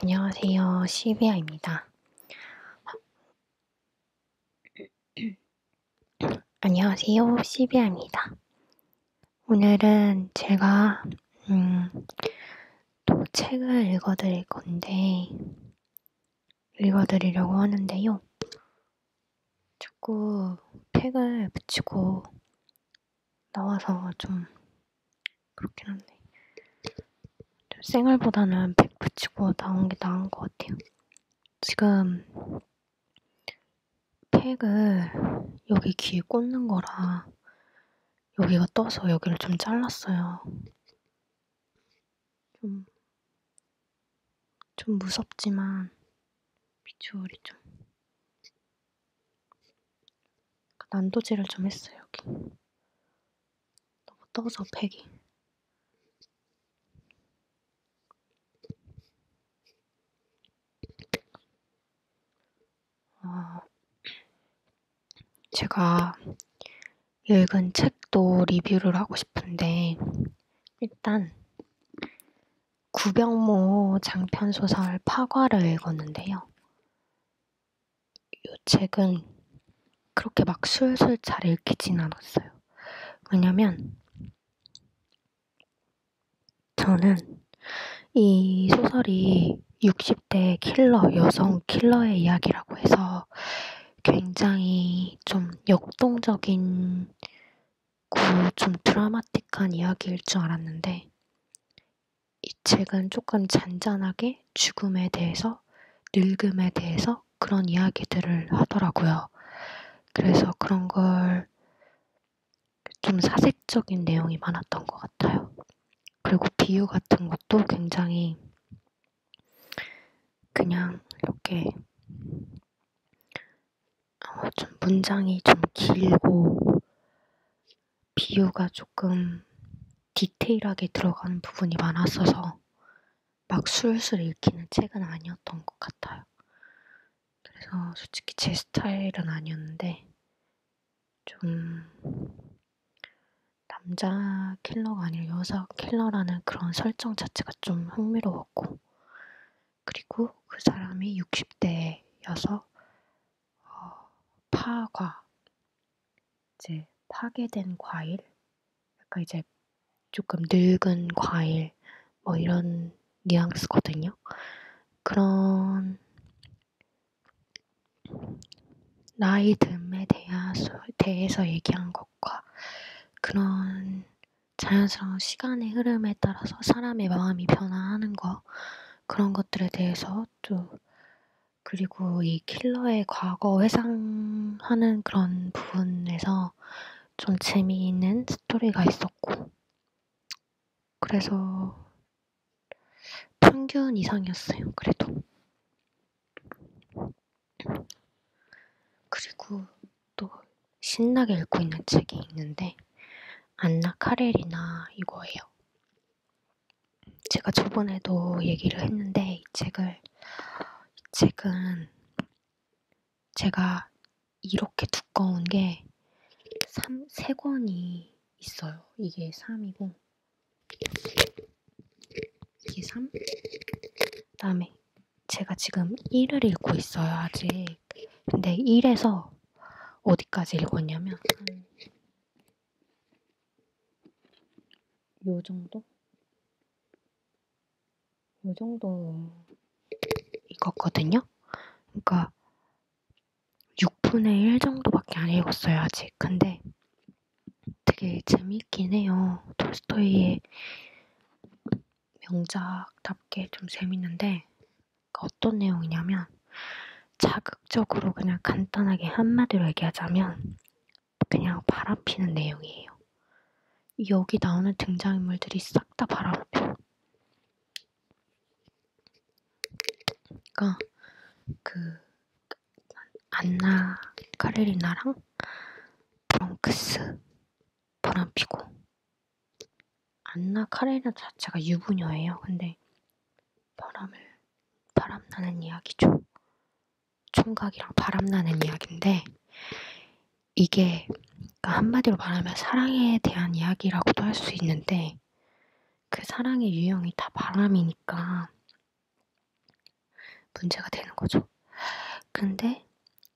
안녕하세요. 시비아입니다. 안녕하세요. 시비아입니다. 오늘은 제가 음, 또 책을 읽어드릴 건데 읽어드리려고 하는데요. 자꾸 팩을 붙이고 나와서 좀 그렇긴 한데 좀 생얼보다는 팩 붙이고 나온 게 나은 것 같아요. 지금 팩을 여기 귀에 꽂는 거라 여기가 떠서 여기를 좀 잘랐어요. 좀, 좀 무섭지만 비주얼이 좀 그러니까 난도질을 좀 했어요, 여기. 너무 떠서 팩이. 어, 아, 제가 읽은 책도 리뷰를 하고 싶은데, 일단 구병모 장편소설 파과를 읽었는데요. 이 책은 그렇게 막 술술 잘 읽히진 않았어요. 왜냐면 저는 이 소설이 60대 킬러, 여성 킬러의 이야기라고 해서 굉장히 좀 역동적인 좀 드라마틱한 이야기일 줄 알았는데 이 책은 조금 잔잔하게 죽음에 대해서 늙음에 대해서 그런 이야기들을 하더라고요. 그래서 그런 걸 좀 사색적인 내용이 많았던 것 같아요. 그리고 비유 같은 것도 굉장히 그냥 이렇게 어, 좀 문장이 좀 길고 비유가 조금 디테일하게 들어가는 부분이 많았어서 막 술술 읽히는 책은 아니었던 것 같아요. 그래서 솔직히 제 스타일은 아니었는데 좀 남자 킬러가 아니라 여자 킬러라는 그런 설정 자체가 좀 흥미로웠고 그리고 그 사람이 60대여서 어, 파과 이제 파괴된 과일, 약간 이제 조금 늙은 과일 뭐 이런 뉘앙스거든요. 그런 나이 듦에 대해서 얘기한 것과 그런 자연스러운 시간의 흐름에 따라서 사람의 마음이 변화하는 거 그런 것들에 대해서 또 그리고 이 킬러의 과거 회상하는 그런 부분에서 좀 재미있는 스토리가 있었고 그래서 평균 이상이었어요 그래도 그리고 또 신나게 읽고 있는 책이 있는데 안나 카렐이나 이거예요. 제가 저번에도 얘기를 했는데 이 책을 이 책은 제가 이렇게 두꺼운 게 3, 3권이 있어요. 이게 3이고 이게 3? 그 다음에 제가 지금 1을 읽고 있어요. 아직 책. 근데 1에서 어디까지 읽었냐면 요 정도? 요 정도 읽었거든요. 그러니까 6분의 1 정도밖에 안 읽었어요, 아직. 근데 되게 재밌긴 해요. 톨스토이의 명작답게 좀 재밌는데 그 어떤 내용이냐면 자극적으로 그냥 간단하게 한마디로 얘기하자면 그냥 바람피는 내용이에요. 여기 나오는 등장인물들이 싹 다 바람피요. 그러니까 그 안나 카레리나랑 브렁크스 바람피고 안나 카레나 자체가 유부녀예요. 근데 바람을 바람나는 이야기죠. 총각이랑 바람나는 이야기인데 이게 그러니까 한마디로 말하면 사랑에 대한 이야기라고도 할 수 있는데 그 사랑의 유형이 다 바람이니까 문제가 되는 거죠. 근데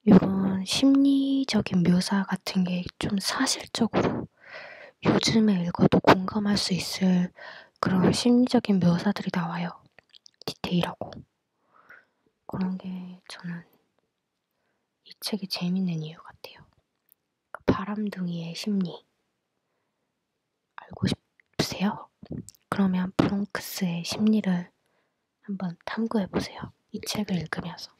이건 심리적인 묘사 같은 게 좀 사실적으로 요즘에 읽어도 공감할 수 있을 그런 심리적인 묘사들이 나와요. 디테일하고. 그런 게 저는 이 책이 재밌는 이유 같아요. 그 바람둥이의 심리. 알고 싶으세요? 그러면 브롱크스의 심리를 한번 탐구해 보세요. 이 책을 읽으면서.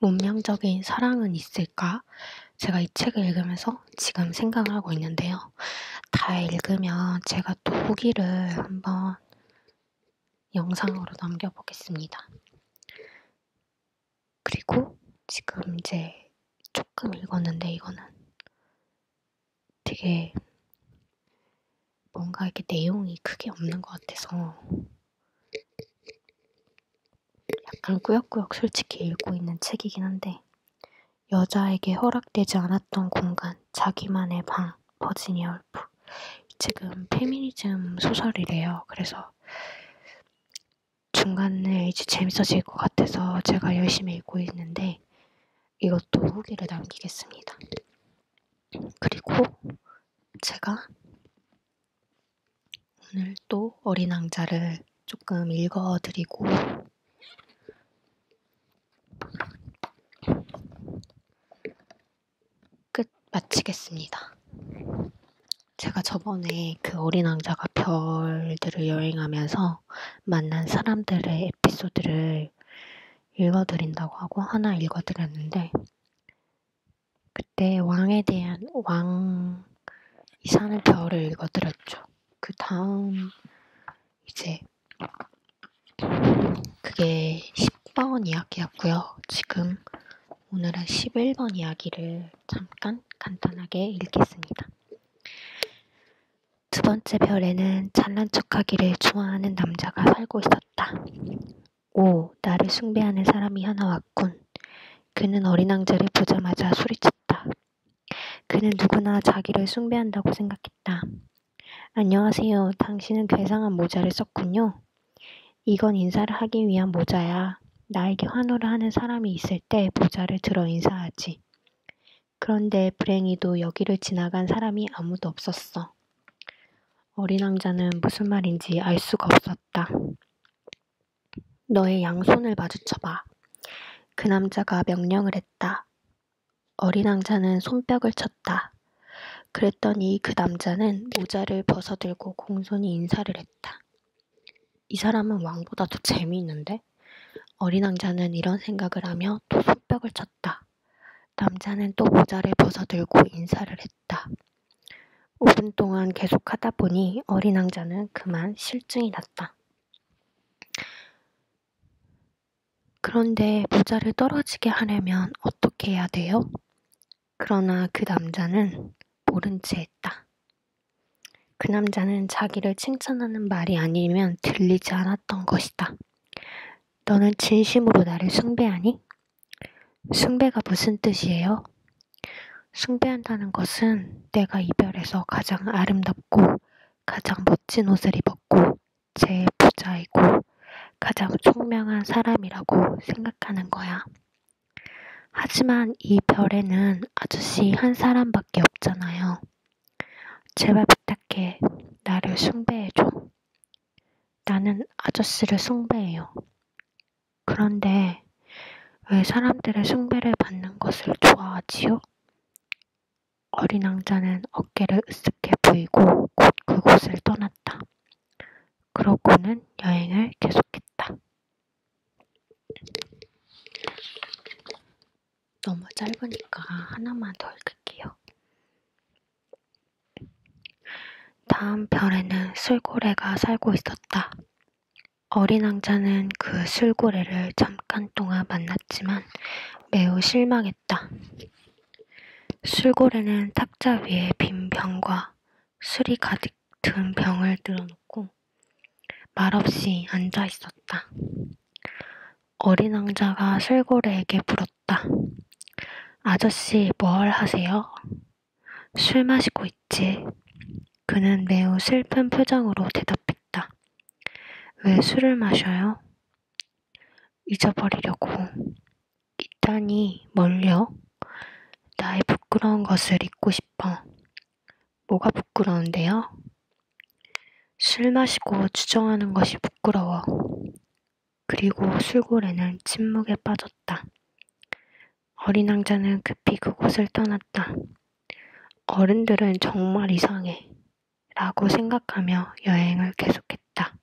운명적인 사랑은 있을까? 제가 이 책을 읽으면서 지금 생각을 하고 있는데요. 다 읽으면 제가 또 후기를 한번 영상으로 남겨보겠습니다. 그리고 지금 이제 조금 읽었는데 이거는 되게 뭔가 이렇게 내용이 크게 없는 것 같아서 약간 꾸역꾸역 솔직히 읽고 있는 책이긴 한데 여자에게 허락되지 않았던 공간 자기만의 방 버지니아 울프 이 책은 페미니즘 소설이래요. 그래서 중간에 이제 재밌어질 것 같아서 제가 열심히 읽고 있는데 이것도 후기를 남기겠습니다. 그리고 제가 오늘 또 어린 왕자를 조금 읽어드리고 끝 마치겠습니다. 제가 저번에 그 어린 왕자가 별들을 여행하면서 만난 사람들의 에피소드를 읽어드린다고 하고 하나 읽어드렸는데 그때 왕에 대한 왕 이산의 별을 읽어드렸죠. 그 다음 이제 그게 10번 이야기였고요. 지금 오늘은 11번 이야기를 잠깐 간단하게 읽겠습니다. 두 번째 별에는 잘난 척하기를 좋아하는 남자가 살고 있었다. 오, 나를 숭배하는 사람이 하나 왔군. 그는 어린 왕자를 보자마자 소리쳤다. 그는 누구나 자기를 숭배한다고 생각했다. 안녕하세요. 당신은 괴상한 모자를 썼군요. 이건 인사를 하기 위한 모자야. 나에게 환호를 하는 사람이 있을 때 모자를 들어 인사하지. 그런데 불행히도 여기를 지나간 사람이 아무도 없었어. 어린 왕자는 무슨 말인지 알 수가 없었다. 너의 양손을 마주쳐봐. 그 남자가 명령을 했다. 어린 왕자는 손뼉을 쳤다. 그랬더니 그 남자는 모자를 벗어들고 공손히 인사를 했다. 이 사람은 왕보다 더 재미있는데? 어린 왕자는 이런 생각을 하며 또 손뼉을 쳤다. 남자는 또 모자를 벗어들고 인사를 했다. 5분 동안 계속 하다 보니 어린 왕자는 그만 실증이 났다. 그런데 모자를 떨어지게 하려면 어떻게 해야 돼요? 그러나 그 남자는 모른 채 했다. 그 남자는 자기를 칭찬하는 말이 아니면 들리지 않았던 것이다. 너는 진심으로 나를 숭배하니? 숭배가 무슨 뜻이에요? 숭배한다는 것은 내가 이별에서 가장 아름답고 가장 멋진 옷을 입었고 제일 부자이고 가장 총명한 사람이라고 생각하는 거야. 하지만 이 별에는 아저씨 한 사람밖에 없잖아요. 제발 부탁해. 나를 숭배해줘. 나는 아저씨를 숭배해요. 그런데 왜 사람들의 숭배를 받는 것을 좋아하지요? 어린 왕자는 어깨를 으쓱해 보이고 곧 그곳을 떠났다. 그러고는 여행을 계속했다. 너무 짧으니까 하나만 더 읽을게요. 다음 별에는 술고래가 살고 있었다. 어린 왕자는 그 술고래를 잠깐 동안 만났지만 매우 실망했다. 술고래는 탁자 위에 빈 병과 술이 가득 든 병을 들어놓고 말없이 앉아 있었다. 어린 왕자가 술고래에게 물었다. 아저씨, 뭘 하세요? 술 마시고 있지. 그는 매우 슬픈 표정으로 대답했다. 왜 술을 마셔요? 잊어버리려고. 이단이 멀려? 나의 부끄러운 것을 잊고 싶어. 뭐가 부끄러운데요? 술 마시고 추정하는 것이 부끄러워. 그리고 술고래는 침묵에 빠졌다. 어린 왕자는 급히 그곳을 떠났다. 어른들은 정말 이상해. 라고 생각하며 여행을 계속했다.